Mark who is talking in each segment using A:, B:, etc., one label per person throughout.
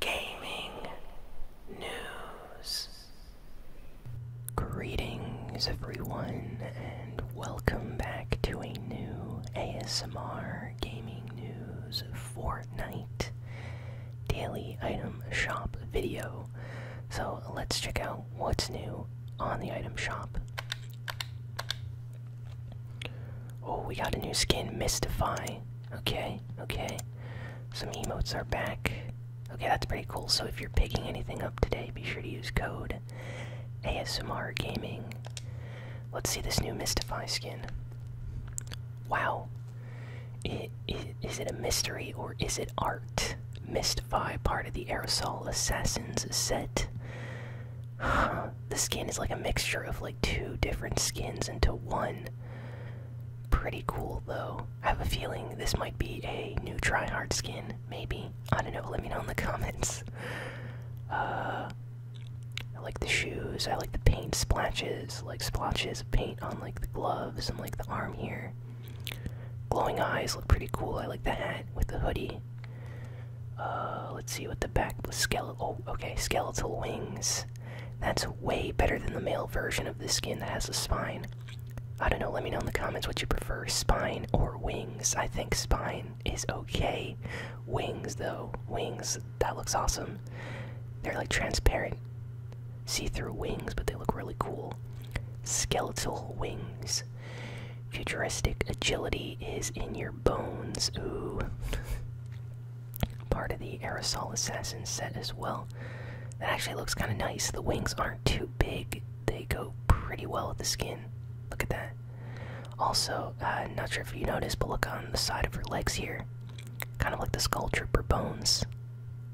A: gaming news. Greetings, everyone, and welcome back to a new ASMR Gaming News Fortnite daily item shop video. So let's check out what's new on the item shop. Oh, we got a new skin, Mystify. Okay, okay. Some emotes are back. Okay, that's pretty cool. So if you're picking anything up today, be sure to use code ASMR Gaming. Let's see this new Mystify skin. Wow. Is it a mystery or is it art? Mystify, part of the Aerosol Assassins set. the skin is like a mixture of like two different skins into one. Pretty cool though. I have a feeling this might be a new tryhard skin, maybe. I don't know, let me know in the comments. Uh I like the shoes, I like the paint splashes, like splotches of paint on like the gloves and like the arm here. Glowing eyes look pretty cool. I like the hat with the hoodie. Uh let's see what the back was skeletal oh okay, skeletal wings. That's way better than the male version of the skin that has a spine. I don't know, let me know in the comments what you prefer, spine or wings. I think spine is okay. Wings, though, wings, that looks awesome. They're like transparent, see through wings, but they look really cool. Skeletal wings. Futuristic agility is in your bones. Ooh part of the aerosol assassin set as well that actually looks kind of nice the wings aren't too big they go pretty well with the skin look at that also uh, not sure if you noticed but look on the side of her legs here kind of like the skull trooper bones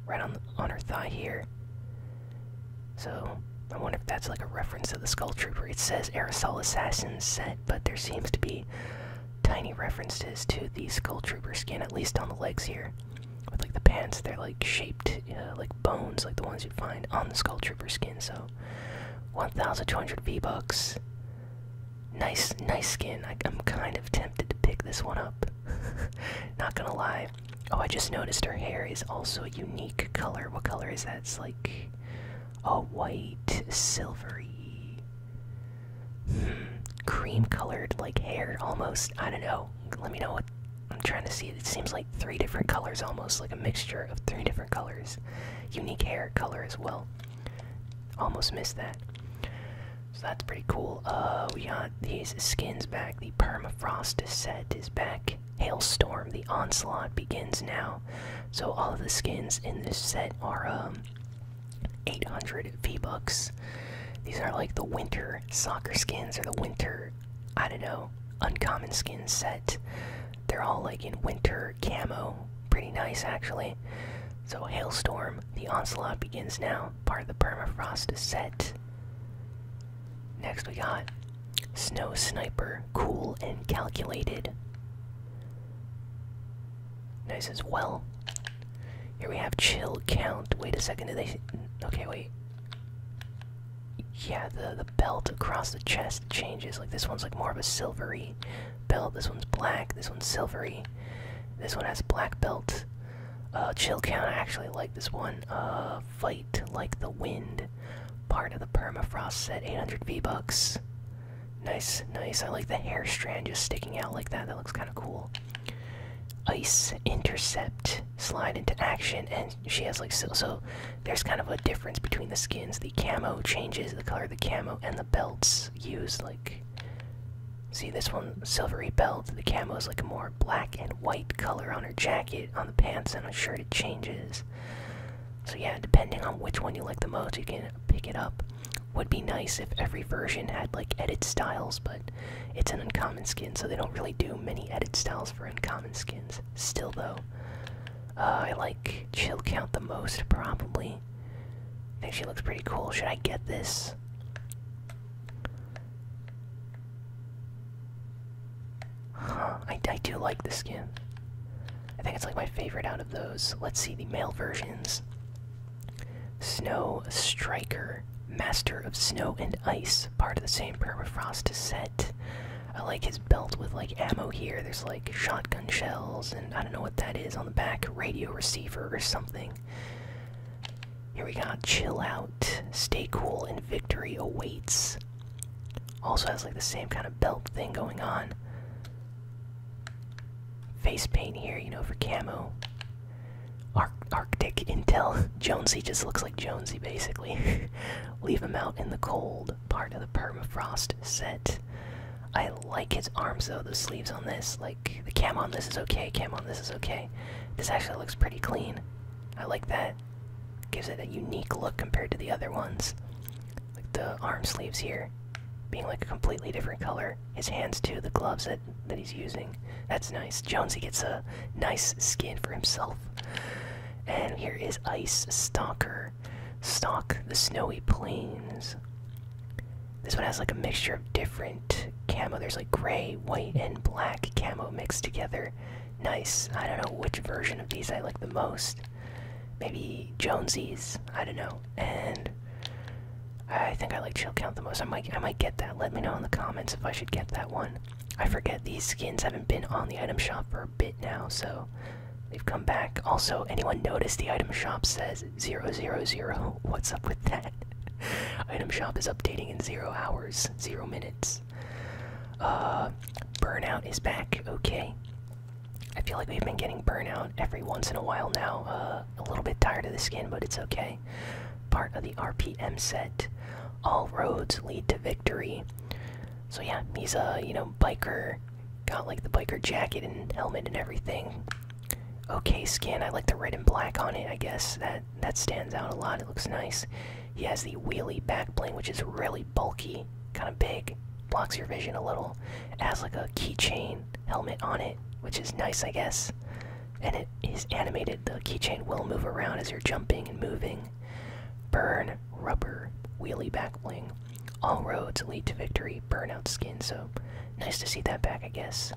A: right on the, on her thigh here so i wonder if that's like a reference to the skull trooper it says aerosol assassin set but there seems to be tiny references to the Skull Trooper skin, at least on the legs here. With like the pants, they're like shaped uh, like bones, like the ones you'd find on the Skull Trooper skin. So, 1,200 V bucks. Nice, nice skin. I'm kind of tempted to pick this one up. Not gonna lie. Oh, I just noticed her hair is also a unique color. What color is that? It's like a white, silvery cream colored like hair almost i don't know let me know what i'm trying to see it seems like three different colors almost like a mixture of three different colors unique hair color as well almost missed that so that's pretty cool uh we got these skins back the permafrost set is back hailstorm the onslaught begins now so all of the skins in this set are um, 800 V-Bucks. These are like the winter soccer skins or the winter, I don't know, uncommon skin set. They're all like in winter camo. Pretty nice actually. So Hailstorm, the onslaught begins now. Part of the permafrost set. Next we got Snow Sniper, cool and calculated. Nice as well. Here we have chill count. Wait a second, did they. Okay, wait. Yeah, the, the belt across the chest changes. Like this one's like more of a silvery belt. This one's black. This one's silvery. This one has black belt. Uh, chill count. I actually like this one. Uh, fight like the wind. Part of the permafrost set. 800 V bucks. Nice, nice. I like the hair strand just sticking out like that. That looks kind of cool. Ice intercept, slide into action, and she has like so. So there's kind of a difference between the skins. The camo changes the color of the camo, and the belts use like. See this one, silvery belt. The camo is like a more black and white color on her jacket, on the pants, and on shirt. It changes. So yeah, depending on which one you like the most, you can pick it up. Would be nice if every version had like edit styles, but it's an uncommon skin, so they don't really do many edit styles for uncommon skins. Still though, uh, I like Chill Count the most probably. I think she looks pretty cool. Should I get this? I, I do like the skin. I think it's like my favorite out of those. Let's see the male versions. Snow Striker, Master of Snow and Ice, part of the same Permafrost set. I like his belt with like ammo here. There's like shotgun shells, and I don't know what that is on the back, radio receiver or something. Here we got Chill Out, Stay Cool, and Victory Awaits. Also has like the same kind of belt thing going on. Face paint here, you know, for camo. Arctic Intel. Jonesy just looks like Jonesy, basically. Leave him out in the cold part of the permafrost set. I like his arms though, the sleeves on this. Like, the cam on this is okay, Camo on this is okay. This actually looks pretty clean. I like that. Gives it a unique look compared to the other ones like the arm sleeves here being like a completely different color. His hands too, the gloves that that he's using. That's nice. Jonesy gets a nice skin for himself. And here is Ice Stalker. Stalk the snowy plains. This one has like a mixture of different camo. There's like gray, white, and black camo mixed together. Nice. I don't know which version of these I like the most maybe Jonesy's. I don't know. And I think I like Chill Count the most. I might I might get that. Let me know in the comments if I should get that one. I forget these skins haven't been on the item shop for a bit now, so they've come back. Also, anyone notice the item shop says 000? What's up with that? item shop is updating in zero hours, zero minutes. Uh, burnout is back. Okay. I feel like we've been getting burnout every once in a while now. Uh, a little bit tired of the skin, but it's okay. Part of the RPM set. All roads lead to victory. So yeah, he's a you know biker. Got like the biker jacket and helmet and everything. Okay, skin. I like the red and black on it. I guess that that stands out a lot. It looks nice. He has the wheelie backplane, which is really bulky kind of big, blocks your vision a little. It has like a keychain helmet on it, which is nice, I guess. And it is animated. The keychain will move around as you're jumping and moving. Burn, rubber, wheelie back bling. All roads lead to victory, burnout skin, so nice to see that back, I guess.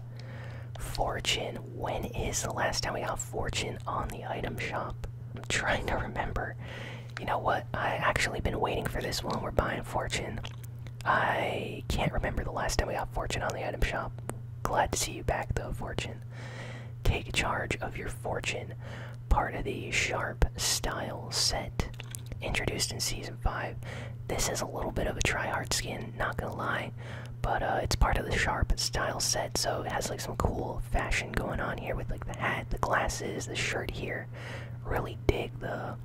A: Fortune, when is the last time we got Fortune on the item shop? I'm trying to remember. You know what? I actually been waiting for this one. We're buying Fortune. I can't remember the last time we got Fortune on the item shop. Glad to see you back though, Fortune. Take charge of your fortune. Part of the Sharp Style set. Introduced in Season 5. This is a little bit of a try-hard skin, not gonna lie. But uh, it's part of the Sharp Style set, so it has like some cool fashion going on here with like the hat, the glasses, the shirt here. Really dig the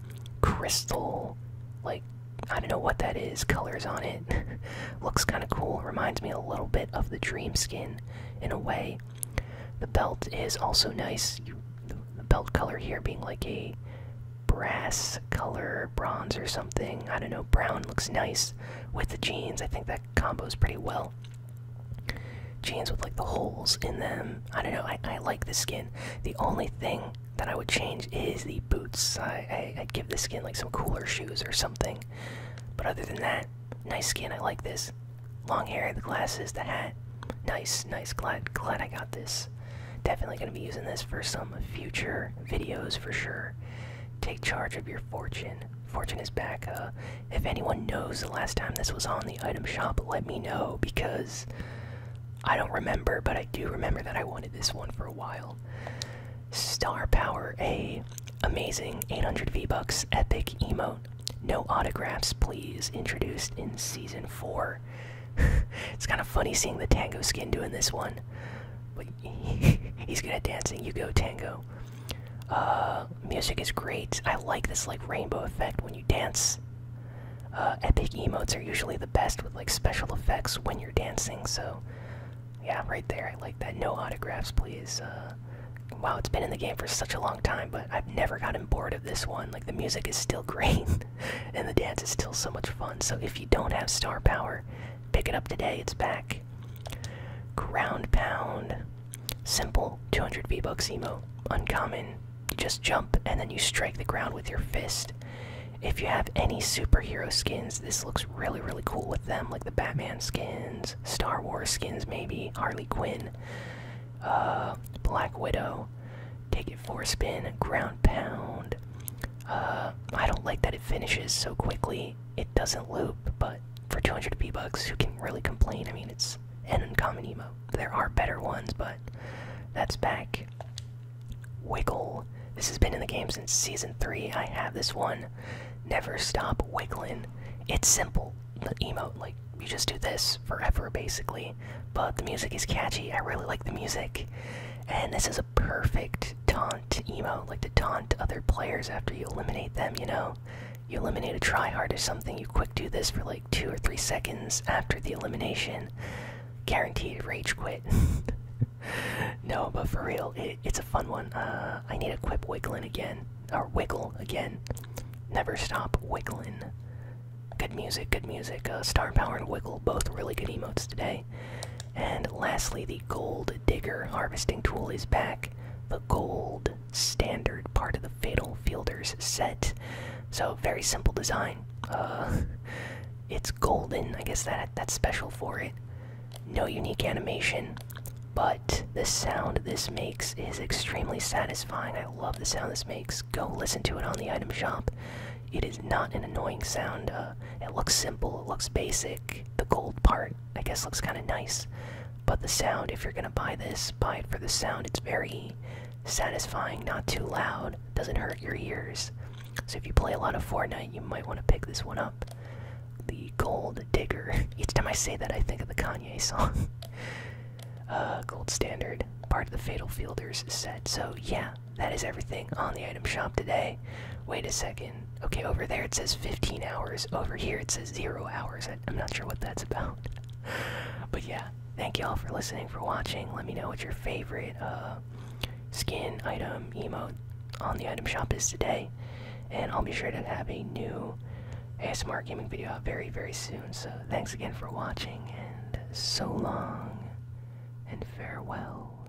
A: crystal, like I don't know what that is, colors on it. Looks kind of cool. Reminds me a little bit of the dream skin in a way. The belt is also nice. the, the belt color here being like a brass color, bronze or something. I don't know. Brown looks nice with the jeans. I think that combos pretty well jeans with like the holes in them. I don't know. I, I like the skin. The only thing that I would change is the boots. I, I would give the skin like some cooler shoes or something. But other than that, nice skin. I like this. Long hair, the glasses, the hat. Nice, nice. Glad glad I got this. Definitely gonna be using this for some future videos for sure. Take charge of your fortune. Fortune is back. Uh, if anyone knows the last time this was on the item shop, let me know because I don't remember, but I do remember that I wanted this one for a while. Star Power A. Amazing 800 V-Bucks epic emote. No autographs, please. Introduced in season 4. it's kind of funny seeing the tango skin doing this one. But he's good at dancing. You go, tango. Uh, music is great. I like this like rainbow effect when you dance. Uh, epic emotes are usually the best with like special effects when you're dancing. So, yeah, right there. I like that. No autographs, please. Uh, wow, it's been in the game for such a long time, but I've never gotten bored of this one. Like the music is still great, and the dance is still so much fun. So if you don't have star power, pick it up today. It's back. Ground pound. Simple 200 V emo, Uncommon, you just jump and then you strike the ground with your fist. If you have any superhero skins, this looks really, really cool with them, like the Batman skins, Star Wars skins, maybe, Harley Quinn, uh, Black Widow, Take It for a Spin, Ground Pound. Uh, I don't like that it finishes so quickly. It doesn't loop, but for 200 p bucks who can really complain i mean it's an uncommon emo. there are better ones but that's back wiggle this has been in the game since season 3 i have this one never stop wiggling it's simple the emote like you just do this forever basically but the music is catchy i really like the music and this is a perfect taunt emo, like to taunt other players after you eliminate them you know you eliminate a tryhard or something, you quick do this for like two or three seconds after the elimination. Guaranteed rage quit. no, but for real, it's a fun one. Uh, I need a quick wiggling again. Or wiggle again. Never stop wiggling. Good music, good music. Uh, star Power and Wiggle, both really good emotes today. And lastly, the gold digger harvesting tool is back. The gold standard part of the Fatal Fielders set. So very simple design. Uh, it's golden. I guess that that's special for it. No unique animation, but the sound this makes is extremely satisfying. I love the sound this makes. Go listen to it on the item shop. It is not an annoying sound. Uh, it looks simple. It looks basic. The gold part I guess looks kind of nice. But the sound, if you're gonna buy this, buy it for the sound. It's very satisfying, not too loud, doesn't hurt your ears. So if you play a lot of Fortnite, you might want to pick this one up. The Gold Digger. Each time I say that, I think of the Kanye song. uh, gold Standard, part of the Fatal Fielders set. So yeah, that is everything on the item shop today wait a second. Okay, over there it says 15 hours. Over here it says zero hours. I, am not sure what that's about. but yeah, thank y'all for listening, for watching. Let me know what your favorite uh, skin item emote on the item shop is today. And I'll be sure to have a new ASMR gaming video out very, very soon. So thanks again for watching, and so long, and farewell.